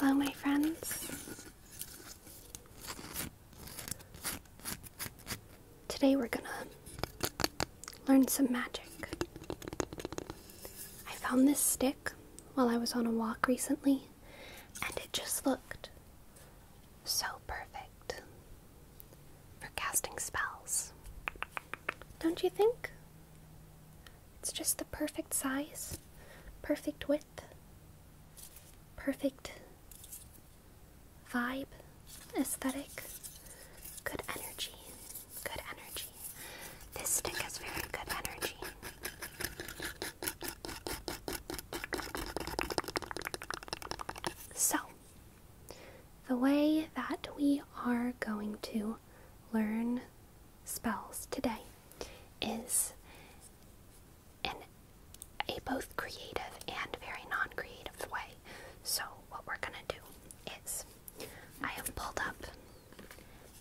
Hello, my friends. Today we're gonna learn some magic. I found this stick while I was on a walk recently, and it just looked so perfect for casting spells. Don't you think? It's just the perfect size, perfect width, perfect vibe, aesthetic, good energy, good energy. This stick has very good energy. So, the way that we are going to learn spells today is in a both creative and very non creative way. So, what we're going to do is I have pulled up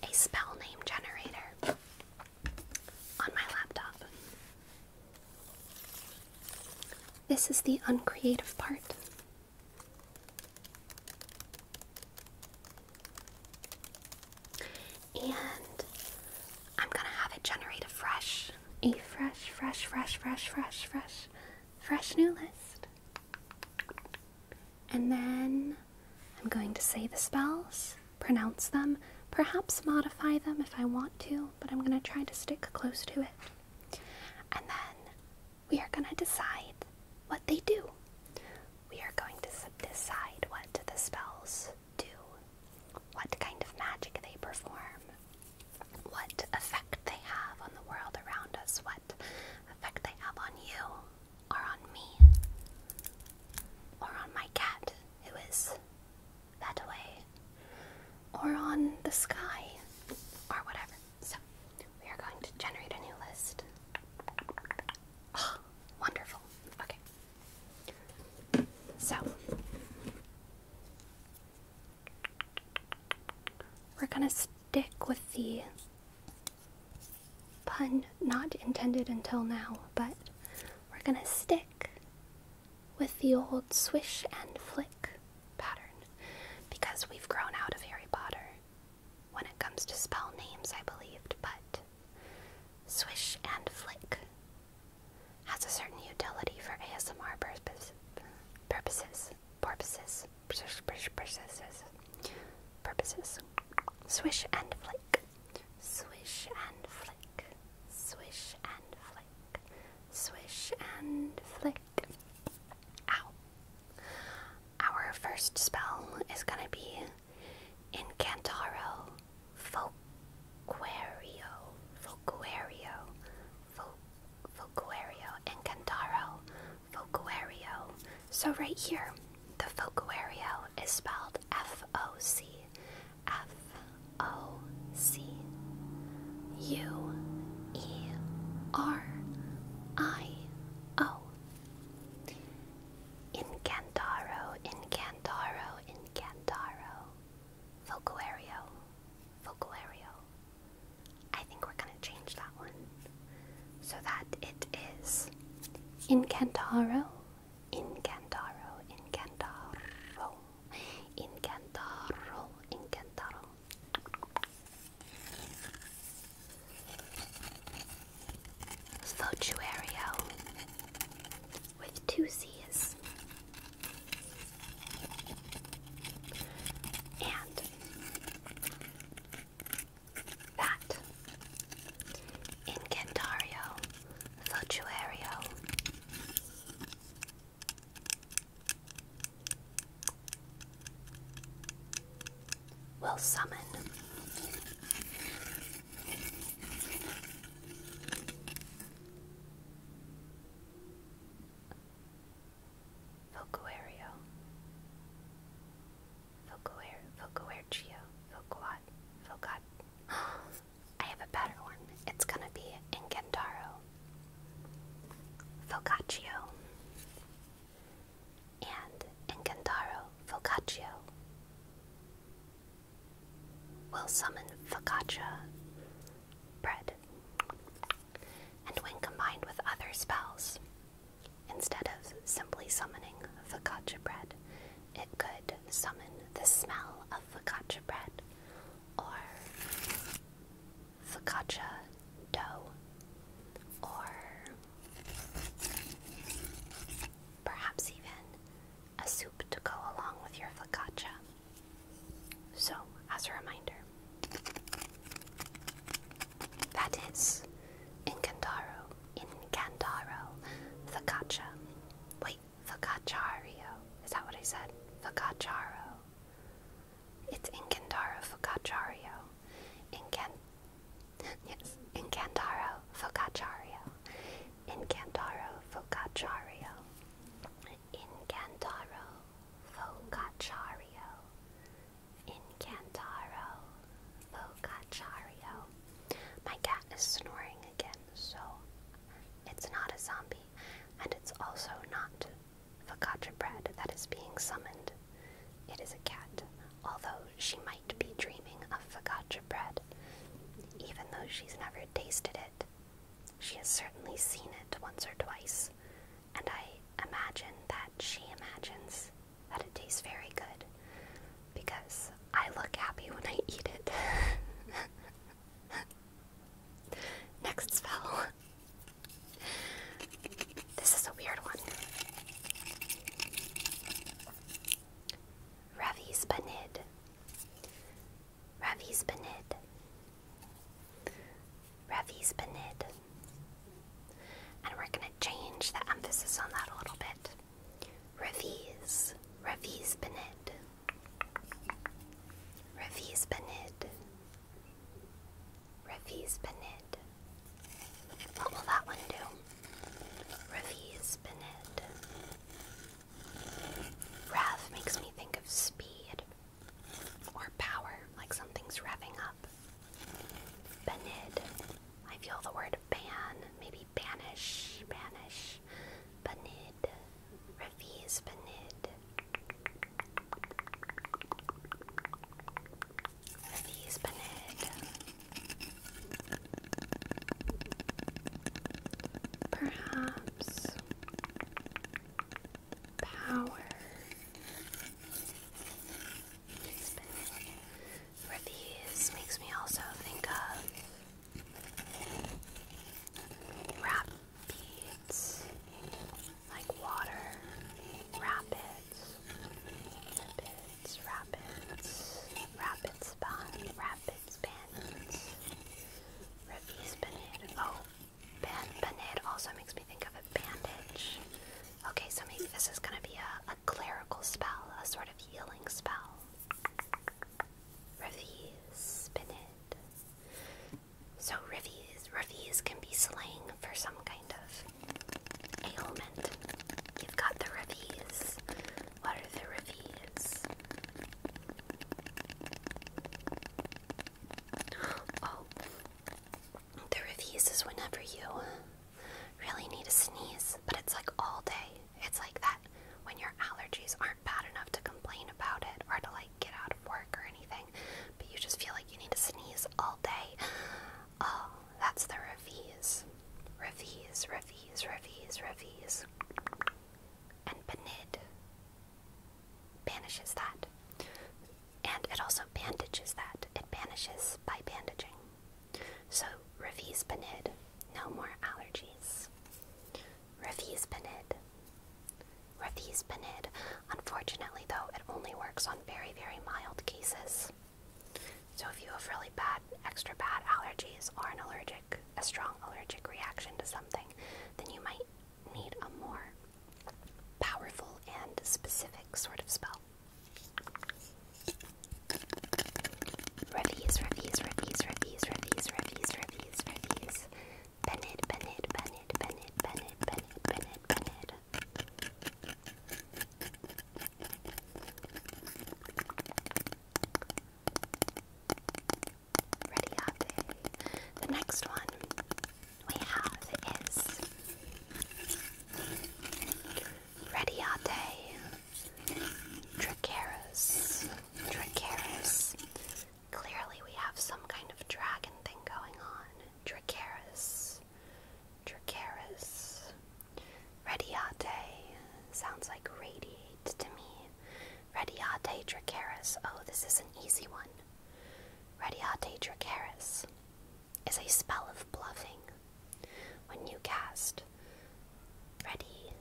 a spell name generator on my laptop. This is the uncreative part. And I'm gonna have it generate a fresh, a fresh, fresh, fresh, fresh, fresh, fresh, new list. And then I'm going to say the spells pronounce them, perhaps modify them if I want to, but I'm going to try to stick close to it. And then we are going to decide what they do. We are going to decide what the spells do, what kind of magic they perform, what effect they have on the world around us, what effect they have on you, or on me, or on my cat, who is that way or on the sky or whatever. So we are going to generate a new list. Ah, wonderful. Okay. So we're going to stick with the pun not intended until now, but we're going to stick with the old swish and flick pattern because we've grown out of Harry Potter when it comes to spell names, I believed, but swish and flick has a certain utility for ASMR purposes. Purposes. Purposes. Purposes. Purposes. Swish and flick. Swish and flick, swish and flick, swish and flick. Ow. Our first spell is gonna be Incantaro Foquario, Foquario, Fo Incantaro Foquario. So right here, the Foquario is spelled F O C F O C U E R I O. Incantaro, Incantaro, Incantaro. Focuario, Focuario. I think we're going to change that one so that it is Incantaro, Incantaro, Incantaro, Incantaro, Incantaro. Fotuario with two C's. And that Incantario, Voltuario. Will summon Vocuario, Vocuer, Vocuercio, Vocuat, Vocat. I have a better one. It's gonna be in Gentaro. Focaccio. And in Gentaro, Focaccio will summon focaccia bread. And when combined with other spells, instead of simply summoning focaccia bread, it could summon the smell of focaccia bread or focaccia dough or perhaps even a soup to go along with your focaccia. So, as a reminder, that is in in Gandaro, Focaccia. Wait, Focaccario. Is that what he said? Focaccaro. It's in Gandaro, Focacciario. In Can Yes, in Gandaro, Focacciario. In Gandaro, Focaccario. In Gandaro, Bogachario. My cat is snoring again, so it's not a zombie, and it's also not focaccia bread that is being summoned. It is a cat, although she might be dreaming of focaccia bread. Even though she's never tasted it, she has certainly seen it once or twice, and I imagine that she imagines that it tastes very good because I look happy when I eat it. Next spell. This is a weird one. Ravi's Banid. Ravi's And we're going to change the emphasis on that a little bit. Raviz, Raviz Benid, Raviz Benid, Raviz Benid. What will that one do? Raviz Benid. Rev makes me think of speed or power, like something's revving up. Benid. I feel the word ban, maybe banish, banish, banid, refuse banid, refuse banid. Perhaps power. Reviews makes me also think of rap like water, rapids, rapids, rapids, rapid spun, rapids bandits, reviews banana. Oh, ban banana also makes me think of a bandage. Okay, so maybe this is gonna be a, clerical spell, a sort of healing spell. Rivies, spinach. So rivies, rivies can be slang for some kind of ailment. You've got the rivies. What are the rivies? Oh, the rivies is whenever you Really need a sneeze, but it's like all day. It's like that when your allergies aren't bad enough to complain about it or to like get out of work or anything, but you just feel like you need to sneeze all day. Oh, that's the revies. Revies, revies, revies, revies. And benid banishes that. And it also bandages that. It banishes by bandaging. So, Revizpenid, no more allergies. Revizpenid. Revizpenid. Unfortunately, though, it only works on very, very mild cases. So, if you have really bad, extra bad allergies or an allergic, a strong allergic reaction to something, then you might need a more powerful and specific sort of spell. Reviews, reviews, reviews, reviews, reviews, reviews, reviews, reviews. Bennett, Bennett, Ready up. The next one we have is Radiate, Dracarys, Dracarys. Clearly we have some kind of dragon thing going on. Dracarys, Dracarys. Radiate sounds like radiate to me. Radiate Dracarys. Oh, this is an easy one. Radiate Dracarys is a spell of bluffing. When you cast Ready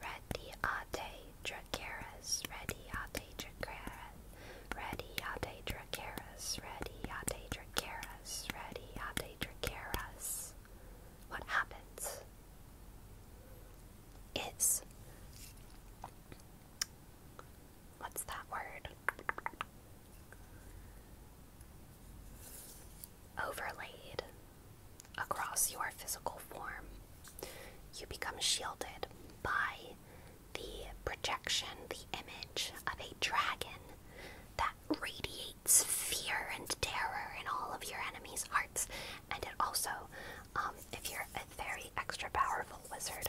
Ready Ate Dracaris, Ready Ate Dracaris, Ready Ate Dracaris, Ready Ate Dracaris, Ready Ate Dracaris, what happens is What's that word? Overlaid across your physical form, you become shielded by the projection, the image of a dragon that radiates fear and terror in all of your enemies' hearts. And it also, um, if you're a very extra powerful wizard,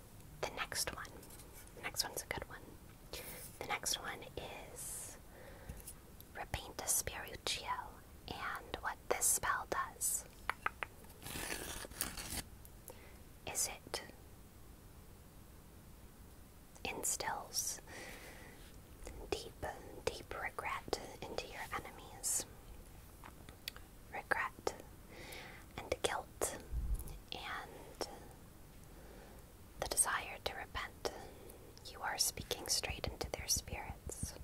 the next one. The next one's a good one. The next one is Repainta Spiritual and what this spell does. Is it instills deep, deep regret into your enemies? Regret and guilt and the desire to repent. You are speaking straight into their spirits.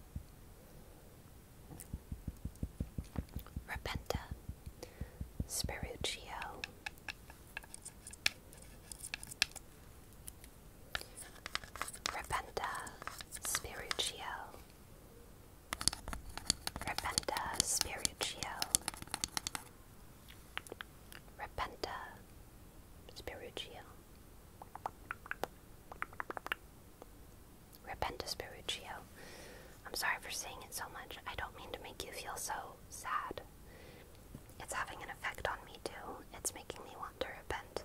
Repenta, Spiruccio. Repenta, Spiruccio, Repenta Spiritio. Repenta Spiritio. Repenta Spiritio. I'm sorry for saying it so much. I don't mean to make you feel so sad. It's having an effect on me too. It's making me want to repent.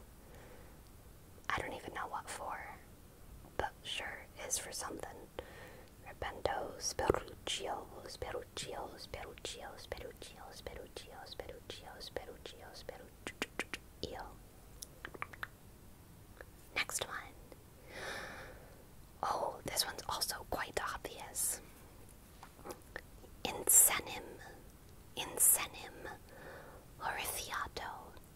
I don't even know what for but sure is for something. Repento, Speruccio, Speruccio, Speruccio, Speruccio, Speruccio, Speruccio, Speruccio, Speruccio. Next one. Oh, this one's also quite obvious. Insanim, insanim, horrifiato,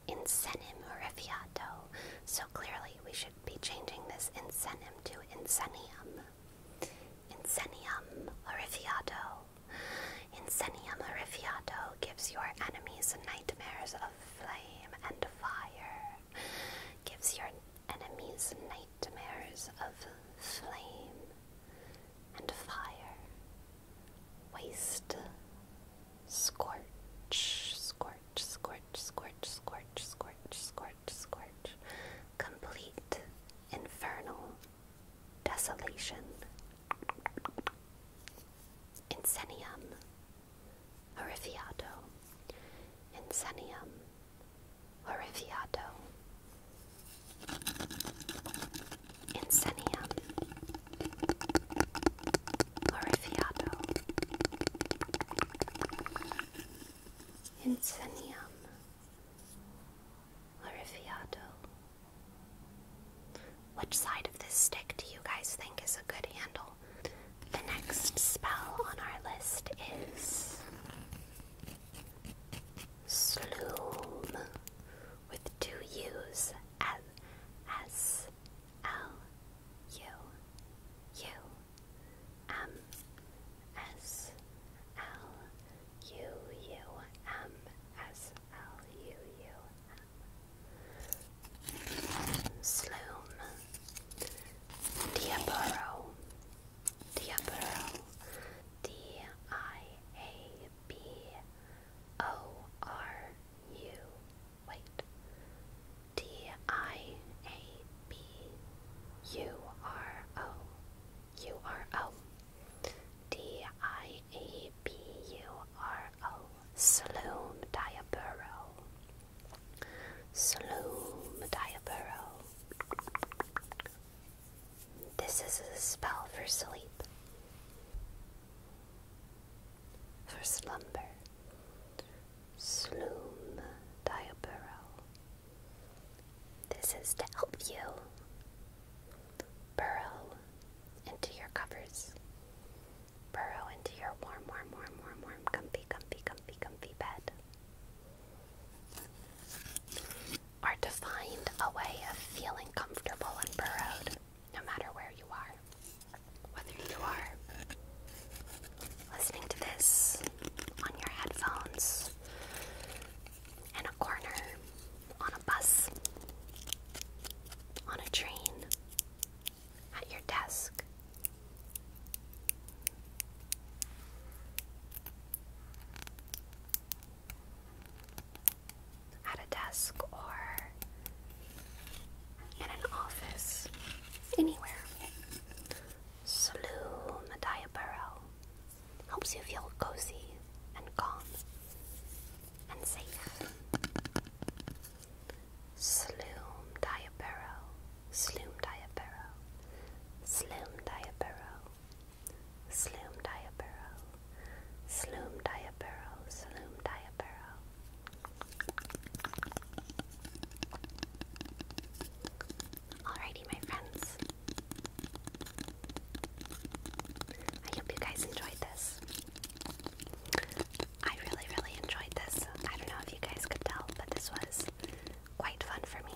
insanim horrifiato. So clearly we should be changing this incenium to incenium. Incenium Orifiato. Incenium Orifiato gives your enemies nightmares of flame and fire. Gives your enemies nightmares of flame and fire. Waste Scorch, scorch, scorch, scorch, scorch, scorch, scorch, scorch. Complete infernal desolation. Insenium, horrifiato. Insenium, horrifiato. Insenium, Glorifiado Insenium Glorifiado Which side of this stick do you guys think is a good handle? The next spell on our list is Sloom with two U's as S L U U M S L U U M S L U U M Sloom Diaboro Diaboro D I A B O R U wait. T I A B U R O U R O D I A B U R O Sloom Diaburo Sloom Diaburo This is a spell for sleep for slumber, sloom diaburo. This is to help you burrow into your covers, burrow into your warm, warm, warm, warm, warm, comfy, comfy, comfy, comfy bed. Or to find a way of feeling comfortable and burrowed no matter where you are. Whether you are listening to this on your headphones, in a corner, on a bus, on a train, at your desk. At a desk or in an office, anywhere. Slough Madaya Burrow helps you feel cozy and calm and safe. Sloom Diabero, Sloom Diabero, Sloom Diabero, Sloom Diabero, Sloom Diabero, Sloom Diabero, Alrighty, my friends. I hope you guys enjoyed this. I really, really enjoyed this. I don't know if you guys could tell, but this was quite fun for me.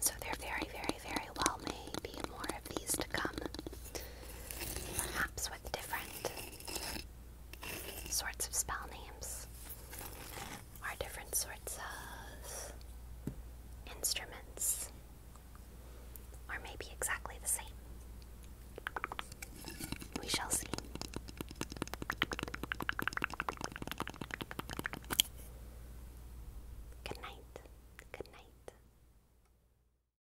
So there, very, very, very well. may be more of these to come. Perhaps with different sorts of spell names are different sorts of instruments, or maybe exactly the same. We shall see. Good night. Good night.